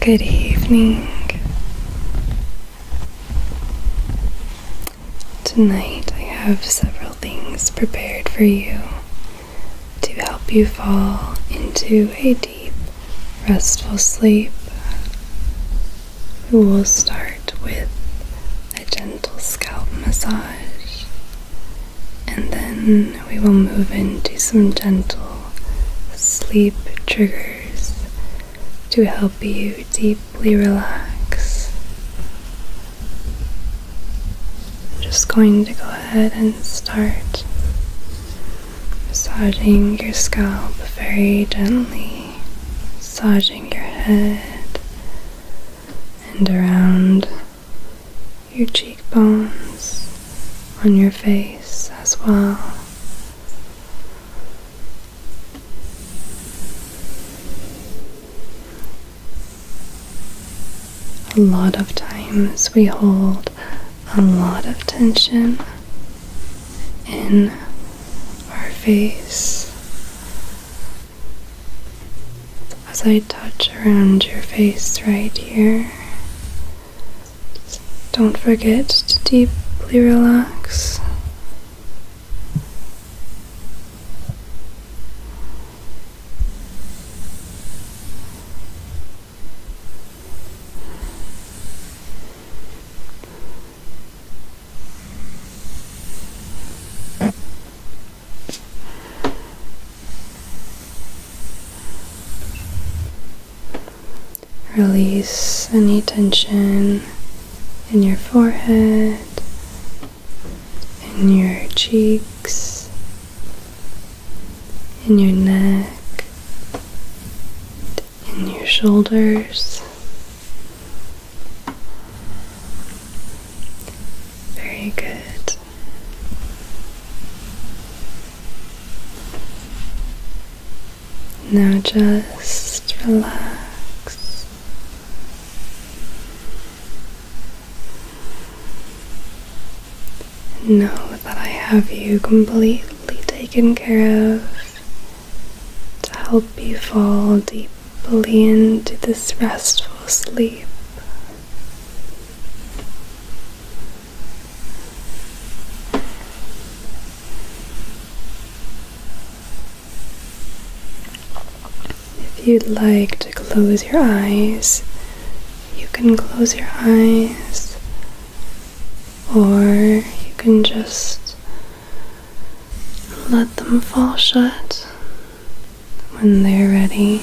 Good evening. Tonight I have several things prepared for you to help you fall into a deep, restful sleep. We will start with a gentle scalp massage and then we will move into some gentle sleep triggers to help you deeply relax. I'm just going to go ahead and start massaging your scalp very gently, massaging your head and around your cheekbones on your face as well. A lot of times we hold a lot of tension in our face. As I touch around your face right here, don't forget to deeply relax. Release any tension in your forehead, in your cheeks, in your neck, in your shoulders. Very good. Now just relax. Know that I have you completely taken care of to help you fall deeply into this restful sleep. If you'd like to close your eyes, you can close your eyes, or you can just let them fall shut when they're ready.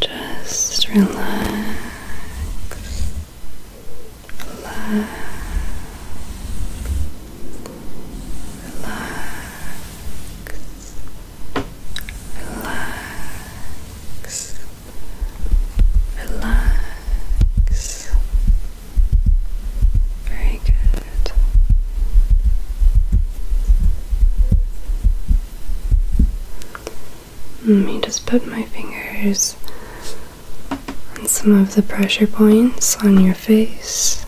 Just relax, relax, relax, relax, relax. Very good. Let me just put my fingers on some of the pressure points on your face.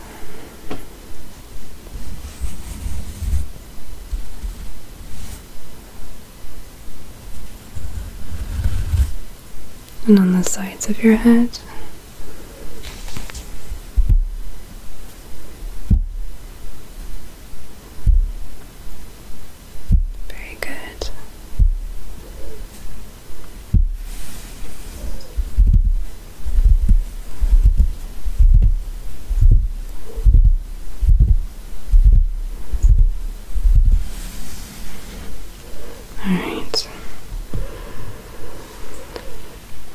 And on the sides of your head. Very good.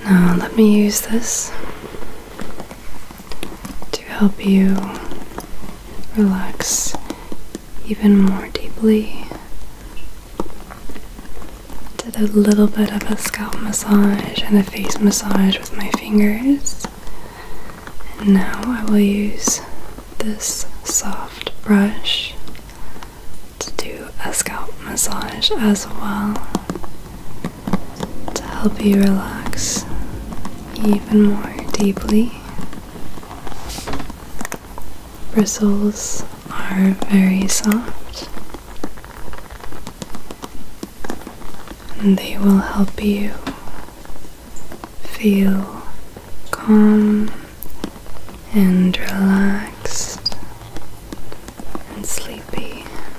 All right. Now let me use this to help you relax even more deeply. Did a little bit of a scalp massage and a face massage with my fingers. And now I will use this soft brush to do a scalp massage as well to help you relax even more deeply. Bristles are very soft and they will help you feel calm and relaxed and sleepy.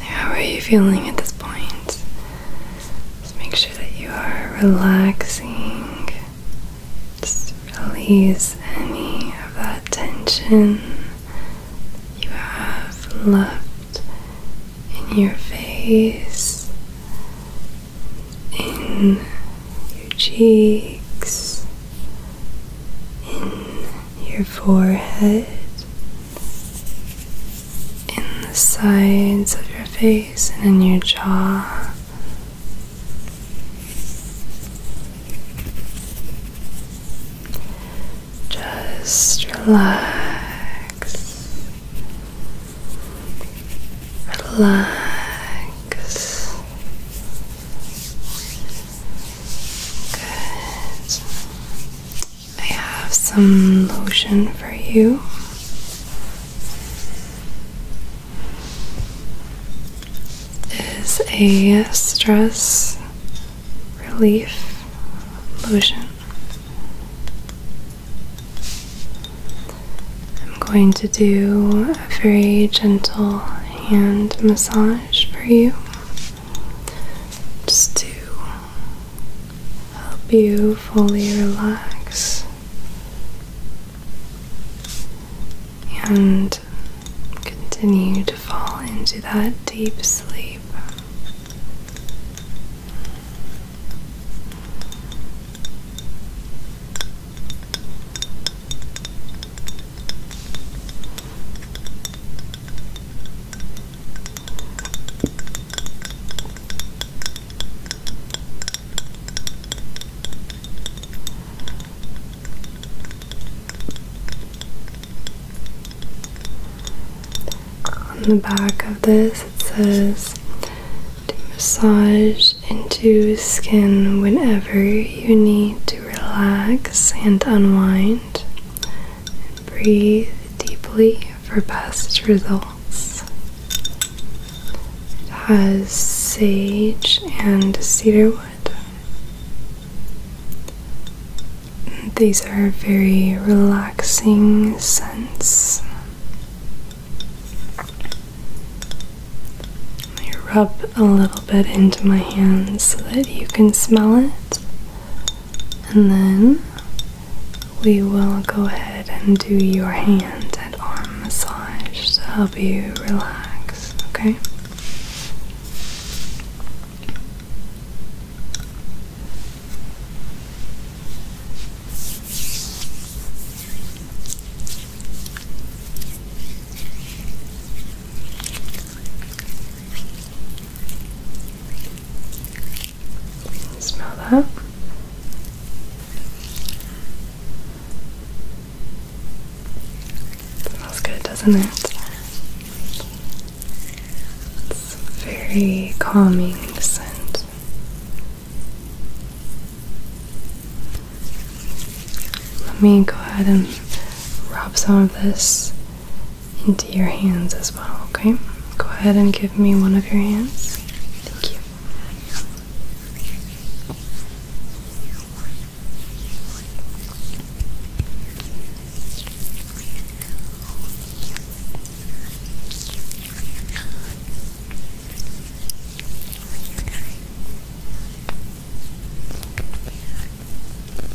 How are you feeling at this point? Just make sure that you are relaxing. Just release any of that tension you have left in your face, in your cheeks, in your forehead, in the sides of your face, and in your jaw. Just relax, relax. Good. I have some lotion for you. It is a stress relief lotion. I'm going to do a very gentle hand massage for you just to help you fully relax and continue to fall into that deep sleep. On the back of this, it says to massage into skin whenever you need to relax and unwind. Breathe deeply for best results. It has sage and cedarwood. These are very relaxing scents. I rub a little bit into my hands so that you can smell it and then we will go ahead and do your hand and arm massage to help you relax, okay? Smell that. Smells good, doesn't it? It's very calming scent. Let me go ahead and rub some of this into your hands as well, okay? Go ahead and give me one of your hands. Thank you.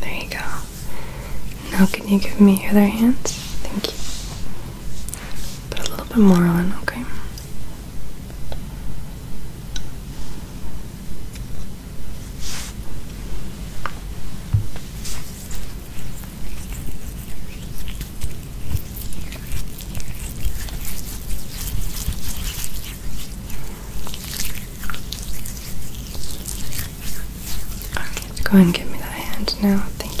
There you go. Now, can you give me your other hand? Thank you. Put a little bit more on, okay? Go ahead and give me that hand now. Thank you.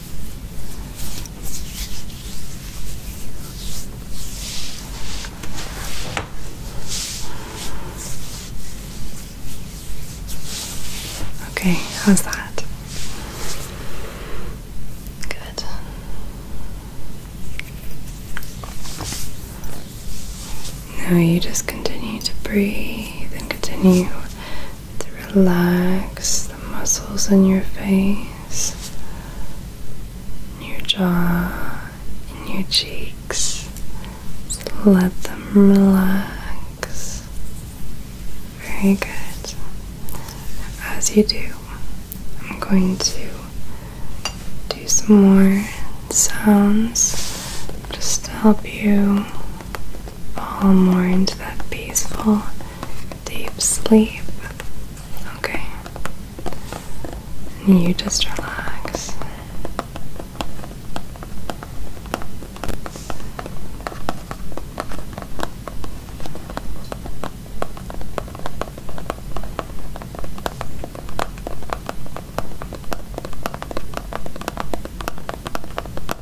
Okay, how's that? Good. Now you just continue to breathe and continue to relax the muscles in your face, in your jaw, in your cheeks. let them relax. Very good. As you do, I'm going to do some more sounds just to help you fall more into that peaceful deep sleep. Okay. you just relax.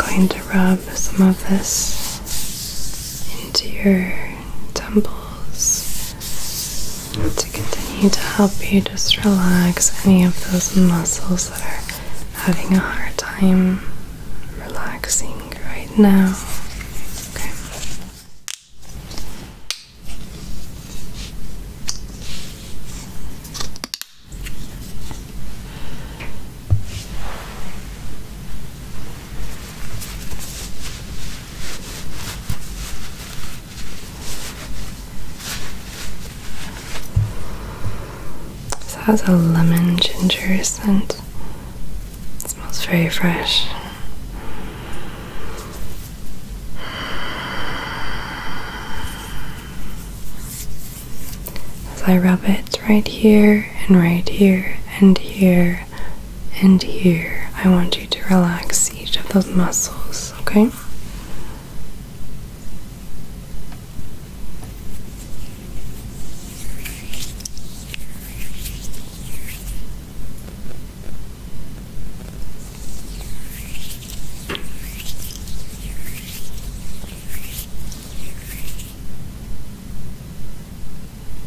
I'm going to rub some of this into your temples to continue to help you just relax any of those muscles that are having a hard time relaxing right now. Okay. This has a lemon ginger scent. It smells very fresh. As I rub it right here and right here and here and here. I want you to relax each of those muscles, okay?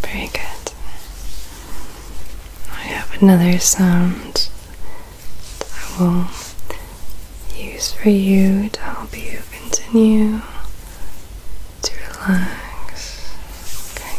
Very good. I have another sound that I will use for you to help you continue to relax. Okay.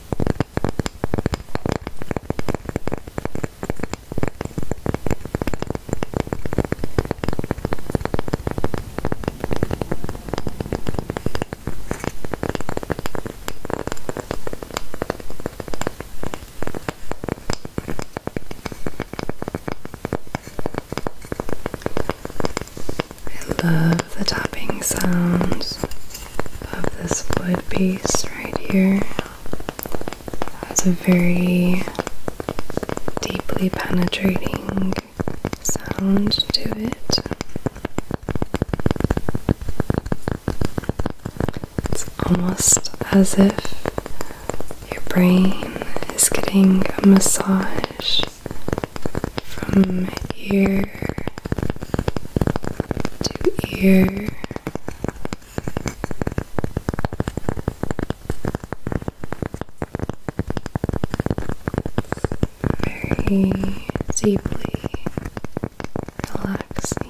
I love the tapping sounds of this wood piece right here. Has a very deeply penetrating sound to it. It's almost as if your brain is getting a massage from ear to ear. Very deeply relaxing.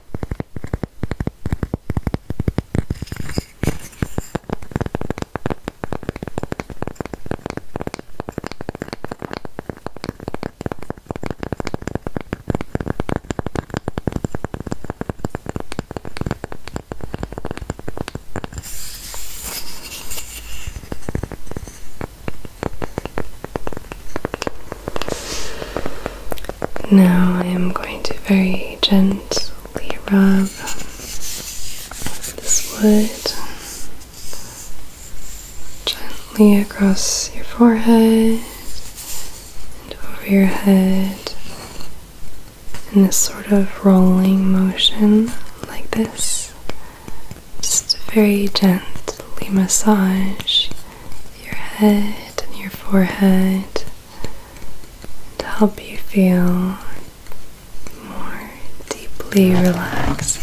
Now I am going to very gently gently rub this wood gently across your forehead and over your head in this sort of rolling motion like this. Just very gently massage your head and your forehead to help you feel more deeply relaxed.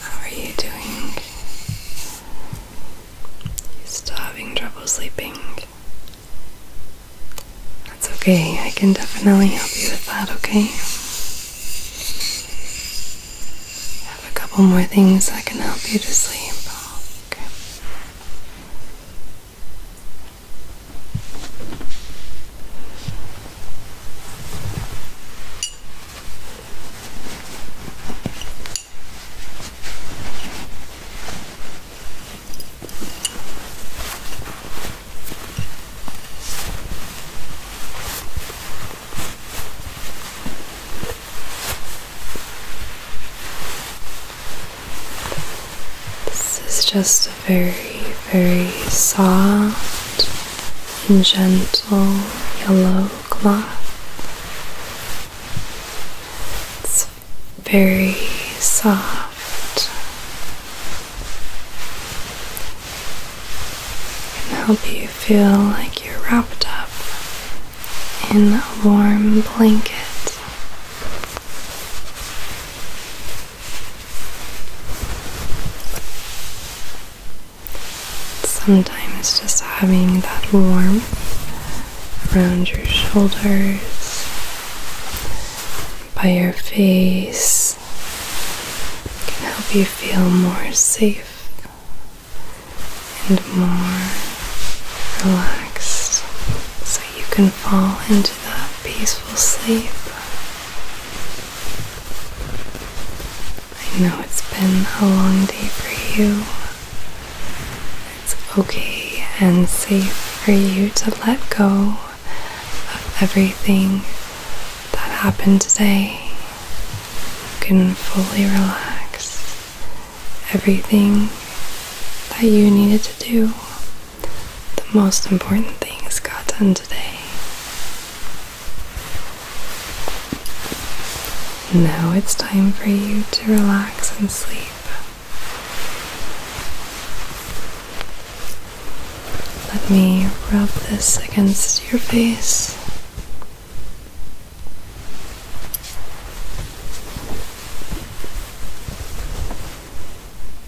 How are you doing? You still having trouble sleeping? That's okay, I can definitely help you with that, okay? I have a couple more things that can help you to sleep. Okay. This is just very, very soft and gentle yellow cloth. It's very soft. It can help you feel like you're wrapped up in a warm blanket. Sometimes just having that warmth around your shoulders, by your face, can help you feel more safe and more relaxed so you can fall into that peaceful sleep. I know it's been a long day for you. It's okay and safe for you to let go of everything that happened today. You can fully relax. Everything that you needed to do, the most important things got done today. Now it's time for you to relax and sleep. Let me rub this against your face.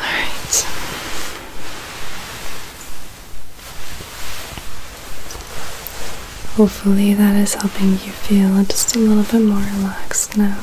right. Hopefully, that is helping you feel just a little bit more relaxed now.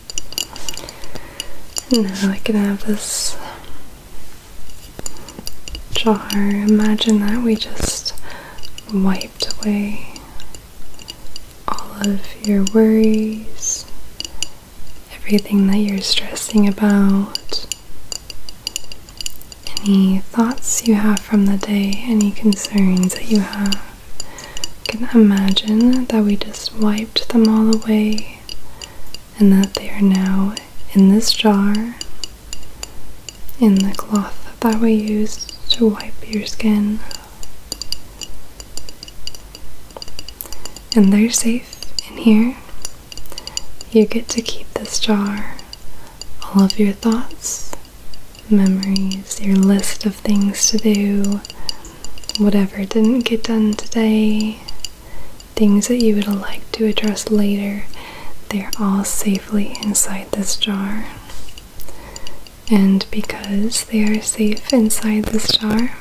now I can have this jar. Imagine that we just wiped away all of your worries, everything that you're stressing about, any thoughts you have from the day, any concerns that you have. can imagine that we just wiped them all away and that they are now in this jar in the cloth that we used to wipe your skin. And they're safe in here. You get to keep this jar, all of your thoughts, memories, your list of things to do, whatever didn't get done today, things that you would like to address later, they're all safely inside this jar. And because they are safe inside the jar,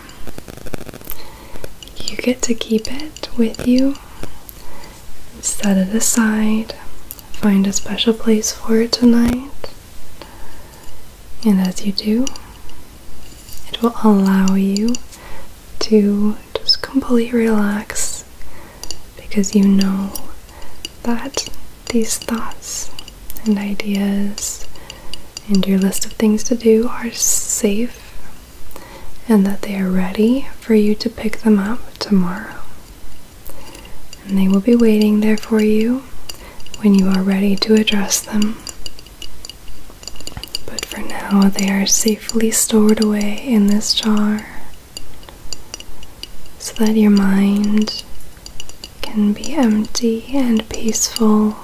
you get to keep it with you, set it aside, find a special place for it tonight, and as you do, it will allow you to just completely relax because you know that these thoughts and ideas and your list of things to do are safe and that they are ready for you to pick them up tomorrow. And they will be waiting there for you when you are ready to address them but for now, they are safely stored away in this jar so that your mind can be empty and peaceful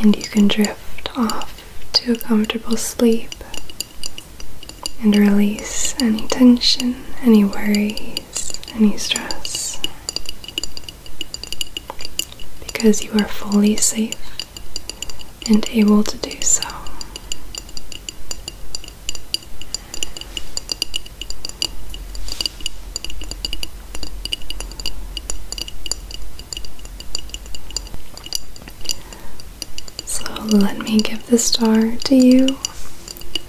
and you can drift off to a comfortable sleep and release any tension, any worries, any stress because you are fully safe and able to do so. So let me give the star to you.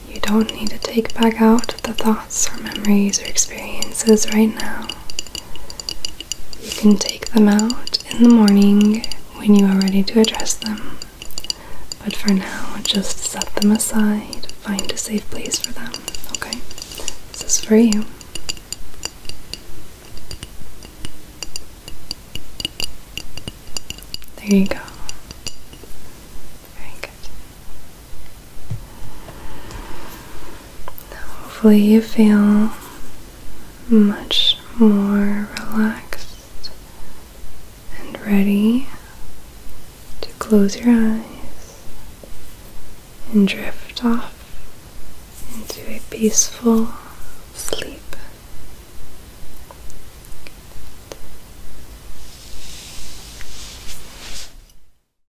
You don't need to take back out the thoughts or memories or experiences right now. You can take them out in the morning when you are ready to address them. But for now, just set them aside. Find a safe place for them, okay? This is for you. There you go. Very good. Hopefully, you feel much more relaxed and ready to close your eyes and drift off into a peaceful sleep.